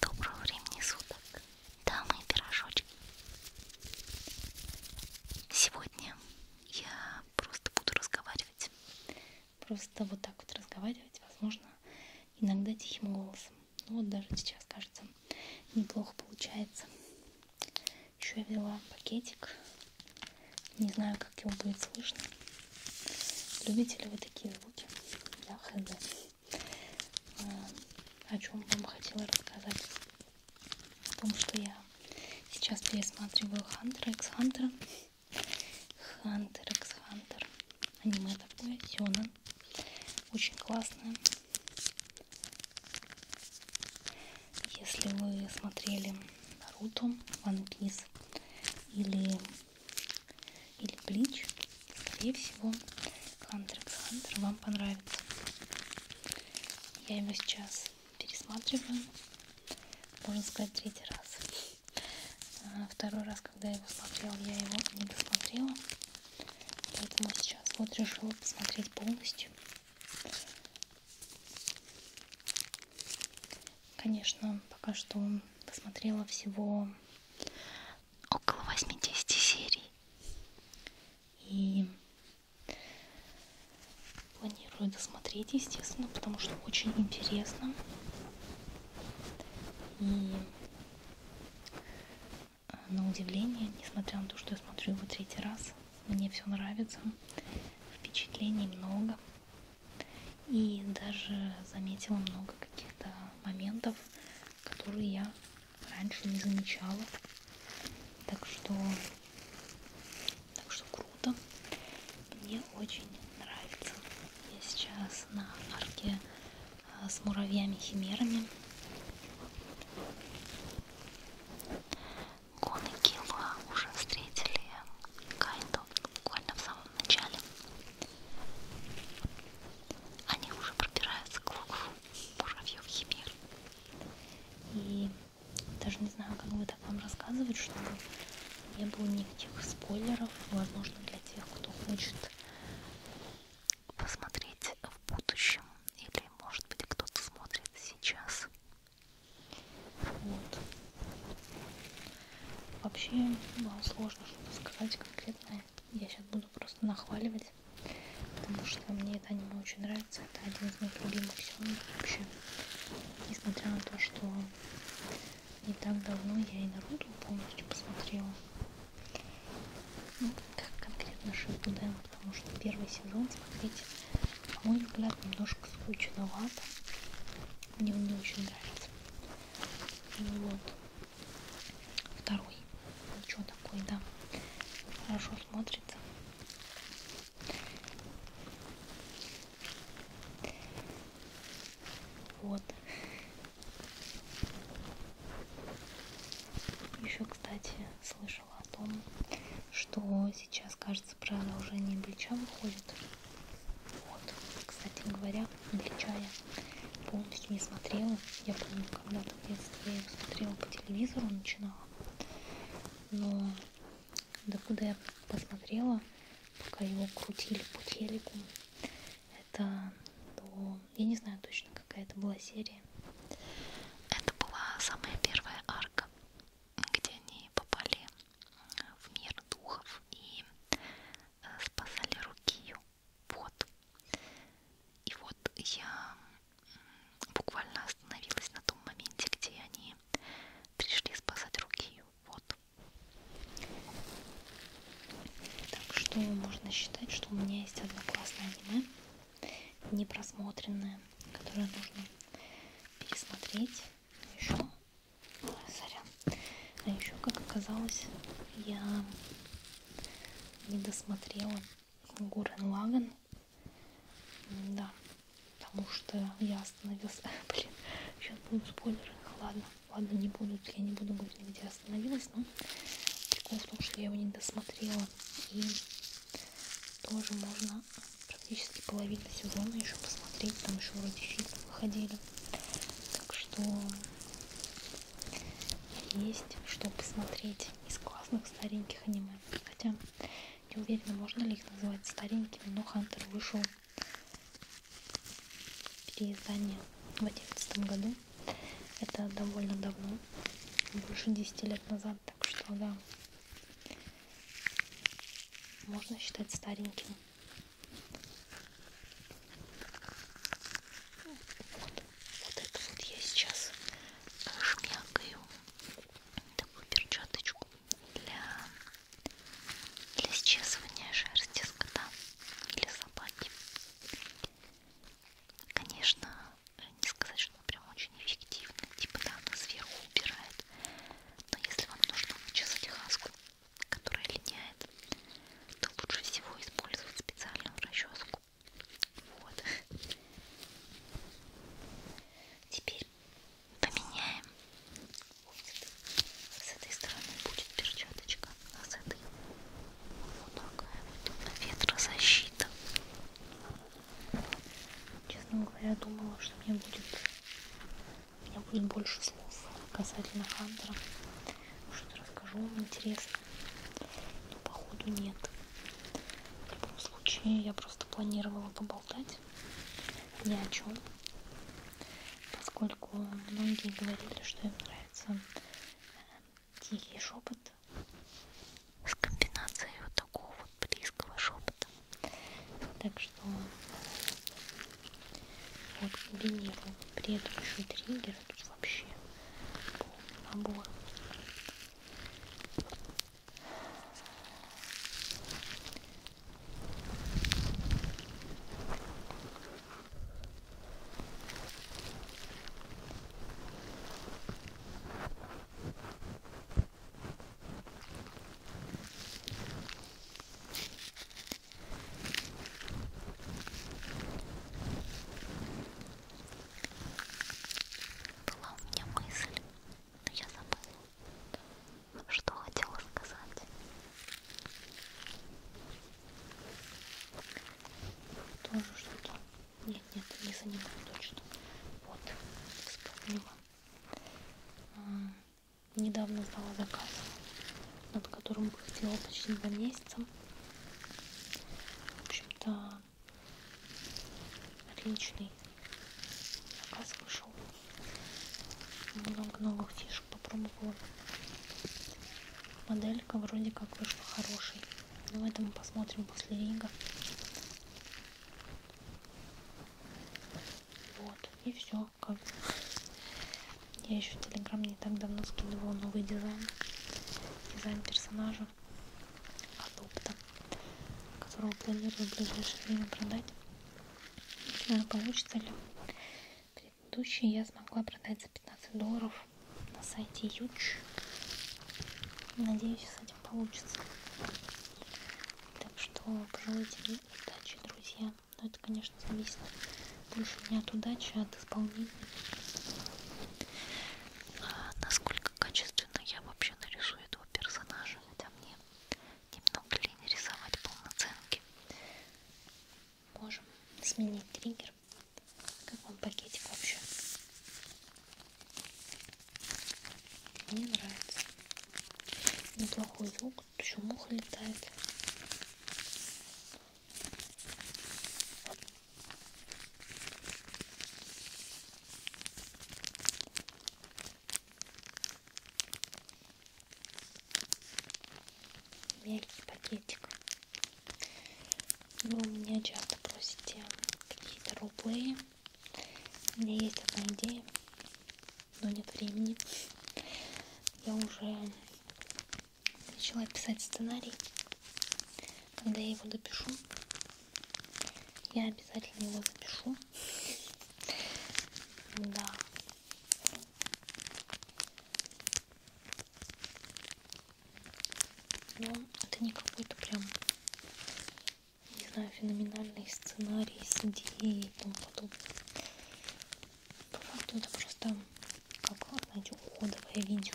Доброго времени суток, дамы и пирожочки. Сегодня я просто буду разговаривать. Просто вот так вот разговаривать, возможно, иногда тихим голосом. Ну вот даже сейчас, кажется, неплохо получается. Еще я взяла пакетик. Не знаю, как его будет слышно. Любите ли вы такие звуки? Я хз. А, о чем вам хотела рассказать? О том, что я сейчас пересматриваю Хантера, Экс Хантера. Хантер, Экс Хантер. Аниме такое, Сёнэн. Очень классное. Если вы смотрели Наруто, One Piece или, или Блич, скорее всего, Hunter x Hunter вам понравится. Я его сейчас пересматриваю, можно сказать, третий раз. А, второй раз, когда я его смотрела, я его не досмотрела. Поэтому сейчас вот решила посмотреть полностью. Конечно, пока что посмотрела всего около 80 серий. И планирую досмотреть, естественно, потому что очень интересно. И э, на удивление, несмотря на то, что я смотрю его третий раз, мне все нравится, впечатлений много. И даже заметила много каких-то моментов, которые я раньше не замечала. Так что, так что круто. Мне очень нравится. Я сейчас на арке а, с муравьями-химерами гонки мы уже встретили Кайду буквально в самом начале. Они уже пробираются к лугу муравьев мир. И даже не знаю, как бы так вам рассказывать, чтобы не было никаких спойлеров, возможно, для тех, кто хочет посмотреть в будущем или может быть кто-то смотрит сейчас вот. Вообще сложно что-то сказать конкретное. Я сейчас буду просто нахваливать, потому что мне это аниме очень нравится. Это один из моих любимых сезонов вообще. Несмотря на то, что не так давно я и Наруто полностью посмотрела. Ну, как конкретно Шипуден, потому что первый сезон смотреть на мой взгляд, немножко скучновато. Мне он не очень нравится. Ну вот. Второй. Ничего ну такой, да. Хорошо смотрится. Вот. Еще, кстати, слышал слышала о том, что сейчас, кажется, про наложение плеча выходит. Вот, кстати говоря, плеча я полностью не смотрела. Я помню, когда-то в детстве я его смотрела по телевизору, начинала. Но докуда я посмотрела, пока его крутили по телеку, это до... Я не знаю точно, какая это была серия. Это была самая первая арка где они попали в мир духов и э, спасали Рукию. Вот. И вот я буквально остановилась на том моменте, где они пришли спасать Рукию. Вот. Так что можно считать, что у меня есть одно классное аниме, непросмотренное, которое нужно пересмотреть еще сорян а еще как оказалось я не досмотрела Гурен Лаган да потому что я остановился блин сейчас будут спойлеры ладно ладно не будут я не буду говорить где остановилась но прикол в том что я его не досмотрела и тоже можно успела практически половину сезона еще посмотреть, там еще вроде фильмы выходили. Так что есть что посмотреть из классных стареньких аниме. Хотя не уверена, можно ли их называть старенькими, но Хантер вышел переиздание в 2011 году. Это довольно давно, больше 10 лет назад, так что да, можно считать стареньким. Вот, вот это вот я сейчас жмякаю такую перчаточку для, для счесывания шерсти с кота или собаки. Конечно, не сказать, что она прям очень эффективна, типа да, она сверху убирает, но если вам нужно вычесать хаску, которая линяет, то лучше всего использовать специальную расческу. Вот. Теперь поменяем. С этой стороны будет перчаточка, а с этой вот такая вот ветрозащита. Честно говоря, думала, что мне будет, у меня будет больше слов касательно Хантера. Что-то расскажу вам интересно. Но походу нет. В любом случае, я просто планировала поболтать ни о чем. Поскольку многие говорили, что им нравится э, тихий шепот с комбинацией вот такого вот близкого шепота. Так что вот комбинируем предыдущий триггер, тут вообще полный набор. Была у меня мысль, но я забыла, ну, что хотела сказать. Тоже что-то. Нет, нет, не занимаю точно. Вот, вспомнила недавно сдала заказ, над которым проходила почти два месяца. В общем-то, отличный заказ вышел. Много новых фишек попробовала. Моделька вроде как вышла хорошей. Но ну, это мы посмотрим после Рига. Вот, и все. Как... Я еще в Телеграм не так давно скидывала новый дизайн. Дизайн персонажа Адопта, которого планирую в ближайшее время продать. Не знаю, получится ли. Предыдущий я смогла продать за 15 долларов на сайте Юч. Надеюсь, с этим получится. Так что пожелайте мне удачи, друзья. Но это, конечно, зависит больше не от удачи, а от исполнения. А насколько качественно я вообще нарисую этого персонажа, хотя мне немного лень рисовать полноценки. Можем сменить триггер. Как вам пакетик вообще? Мне нравится. Неплохой звук. Тут еще муха летает. Мягкий пакетик. Вы у меня часто просите какие-то роллплеи. У меня есть одна идея, но нет времени. Я уже начала писать сценарий. Когда я его допишу, я обязательно его запишу. Да. Но ну, это не какой-то прям не знаю, феноменальные сценарии с идеей и тому подобное. По факту это просто как, знаете, уходовое видео.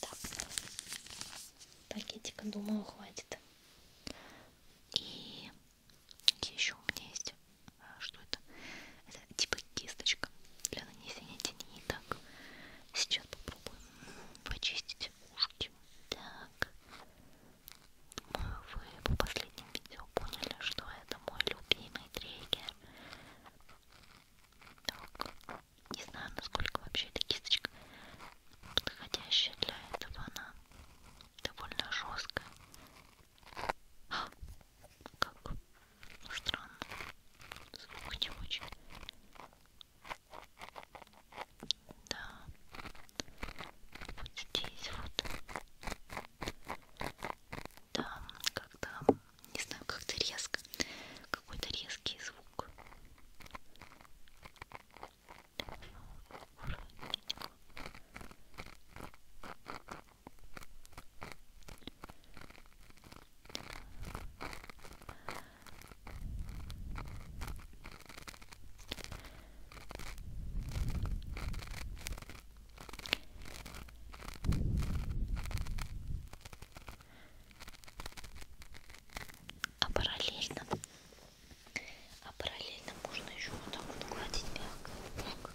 Так, пакетика, думаю, хватит. И еще у меня есть, а, что это? Это типа кисточка для нанесения теней. Так, сейчас попробуем почистить ушки. Так, вы по последним видео поняли, что это мой любимый триггер. Так, не знаю, насколько вообще эта кисточка подходящая для этого. Она довольно жесткая. А, как странно, звук не очень. Да, вот здесь вот. Да, как-то, не знаю, как-то резко, какой-то резкий звук. А параллельно, а параллельно можно еще вот так вот гладить мягко. Так. Так.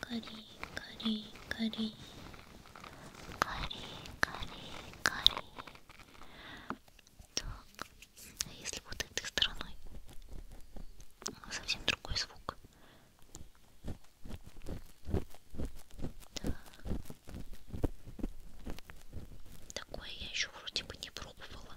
カリカリカリカリカリカリ так а если вот этой стороной ну, совсем другой звук так. такое я еще вроде бы не пробовала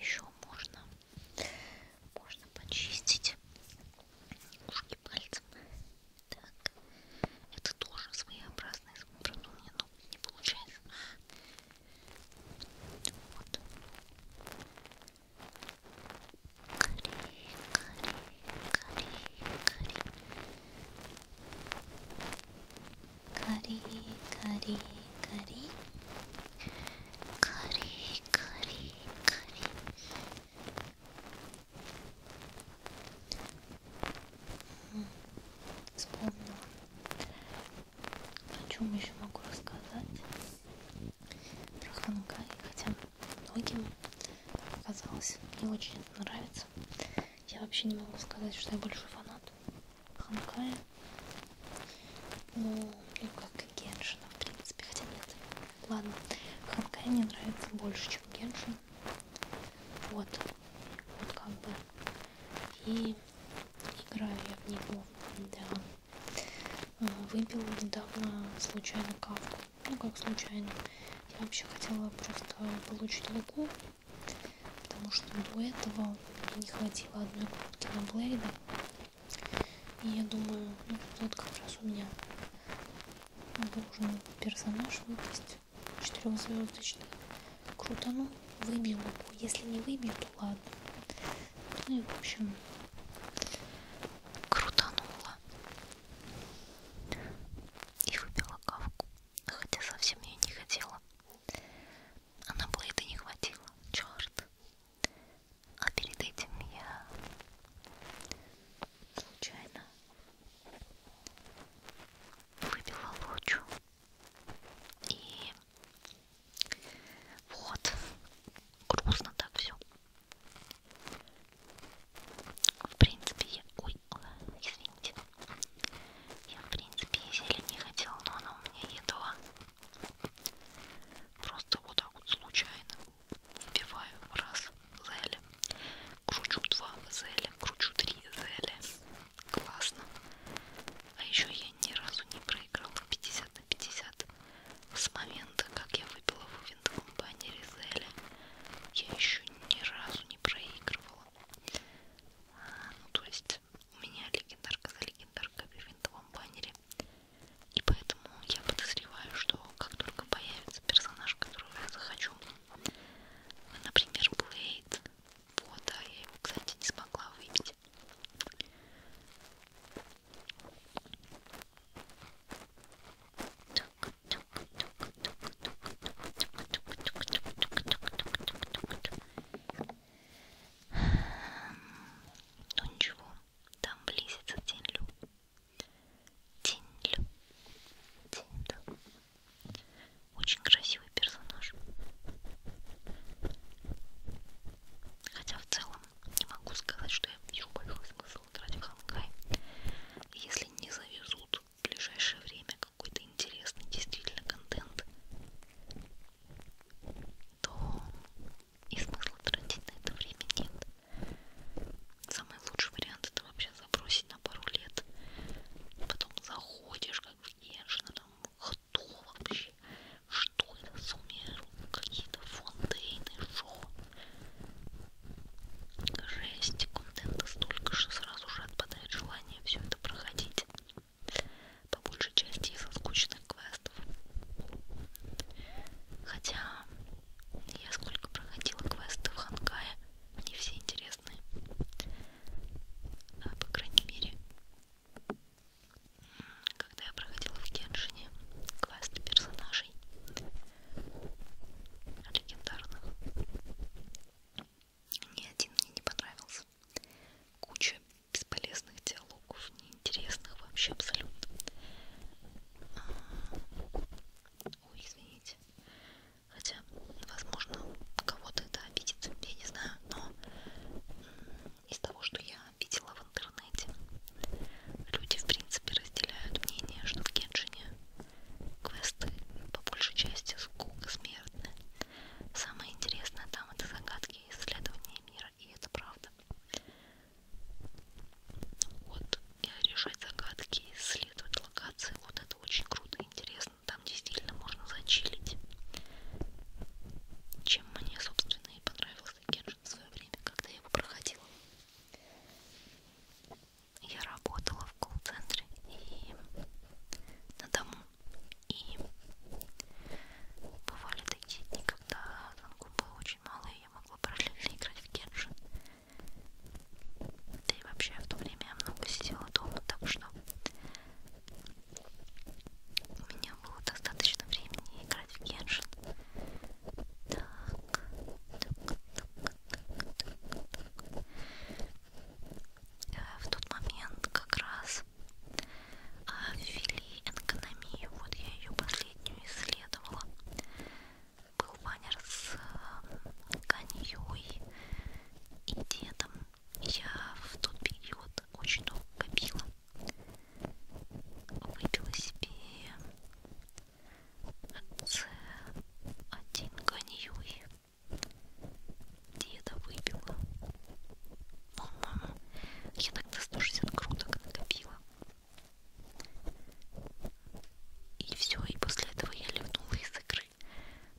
Еще можно, можно почистить ушки пальцем. Так. Это тоже своеобразное правда, у меня ну, не получается. Вот. Гори, гори, гори, гори. Гори, гори, гори. Гори, гори, гори. Вспомнила. О чем еще могу рассказать? Про Хангай, хотя многим оказалось не очень нравится. Я вообще не могу сказать, что я большой фанат Ханкая. Ну, ну как и Геншина, в принципе. Хотя нет, ладно. Ханкай мне нравится больше, чем Геншин. Вот. Вот как бы. И играю я в него. Да. А, выбил недавно случайно кавку. Ну как случайно. Я вообще хотела просто получить луку. Потому что до этого мне не хватило одной крутки на Блейда. И я думаю, ну вот как раз у меня нужен персонаж выпустить четырехзвездочный. Крутану, выбью луку. Если не выбью, то ладно. Ну и в общем, крутанула. И выбила кавку. Хотя совсем ее не хотела. А на блейда не хватило. Черт. А перед этим я случайно выбила лучу. И вот, грустно так все. В принципе, я... Ой, извините. Я, в принципе, зелень не хотела, но она у меня едва. Просто вот так вот случайно вбиваю раз зеля, кручу два зеля, кручу три зеля, классно. А еще я ни разу не проиграла 50 на 50. С момента, как я выпила в винтовом баннере Зеля, я еще ни разу не проигрывала. А, ну то есть у меня легендарка за легендаркой в винтовом баннере. И поэтому я подозреваю, что как только появится персонаж, которого я захочу, например, Блейд, фото а я его, кстати, не смогла выбить. Ну ничего, там близится Тинлю. Тинлю. Тинлю. Очень красивый персонаж. Хотя в целом не могу сказать, что я вижу большой смысл играть в Хангай. Если не завезут в ближайшее время какой-то интересный действительно контент, то и смысла тратить на это время нет. Самый лучший вариант это вообще забросить на пару лет. Потом заходишь как внешне, там кто вообще, что это за мир, какие-то фонтейны, шо. Жесть, контента столько, что сразу же отпадает желание все это проходить. По большей части из-за скучных квестов. Хотя я сколько проходила квесты в Хангае, не все интересные. А, по крайней мере, когда я проходила в Геншине класс персонажей легендарных, ни один мне не понравился. Куча бесполезных диалогов, неинтересных вообще абсолютно. А, ой, извините. Хотя, возможно, кого-то это обидит, я не знаю, но из того, что я видела в интернете, люди, в принципе, разделяют мнение, что в Геншине квесты по большей части скука смертны. Самое интересное там это загадки и исследования мира, и это правда. Вот, и решать загадки, исследовать локации, вот это очень круто, интересно там действительно можно зачилить. Чем мне, собственно, и понравился Геншин в свое время, когда я его проходила. Я работала в колл-центре и на дому. И бывали такие дни, когда звонков было очень мало, и я могла параллельно играть в Геншин. Да и вообще в то время я много сидела дома, так что у меня было достаточно времени играть в Геншин. Так, так, так, так, так. Э, в тот момент как раз а, ввели экономию, вот я ее последнюю исследовала. Был баннер с коньей э, и дедом я в тот период очень долго копила. Выпила себе один коньюй. Деда выпила. По-моему, я тогда 160 круток накопила. И все, и после этого я ливнула из игры персонажей,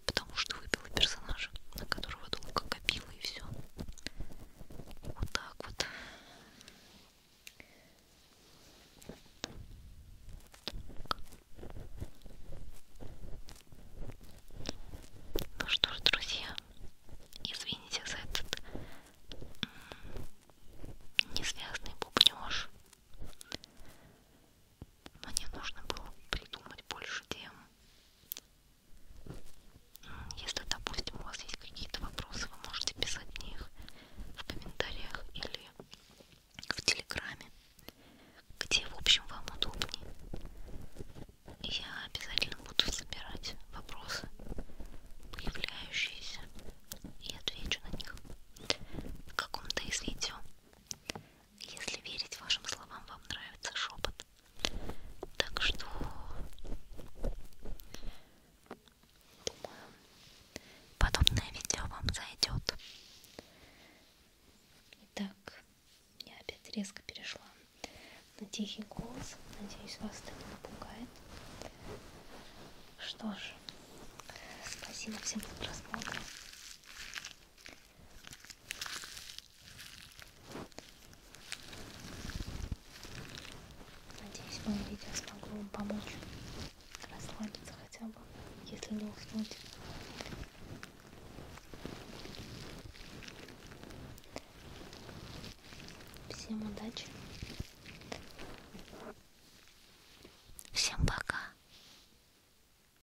потому что выбила персонажа, на которого долго копила и все. Вот так вот. Так. Ну что ж, друзья, извините за этот несвязный бубнёж. Мне нужно было придумать больше тем. Если, допустим, у вас есть какие-то вопросы, вы можете писать мне их в комментариях или в Телеграме, где, в общем, вам удобнее. Я обязательно буду собирать вопросы, появляющиеся, и отвечу на них в каком-то из видео. Если верить вашим словам, вам нравится шепот. Так что думаю, подобное видео вам зайдет. Итак, я опять резко перешла на тихий голос. Надеюсь, вас это не напугает. Что ж, спасибо всем за просмотр. Надеюсь, мое видео смогло вам помочь расслабиться хотя бы, если не уснуть. Всем удачи. Всем пока.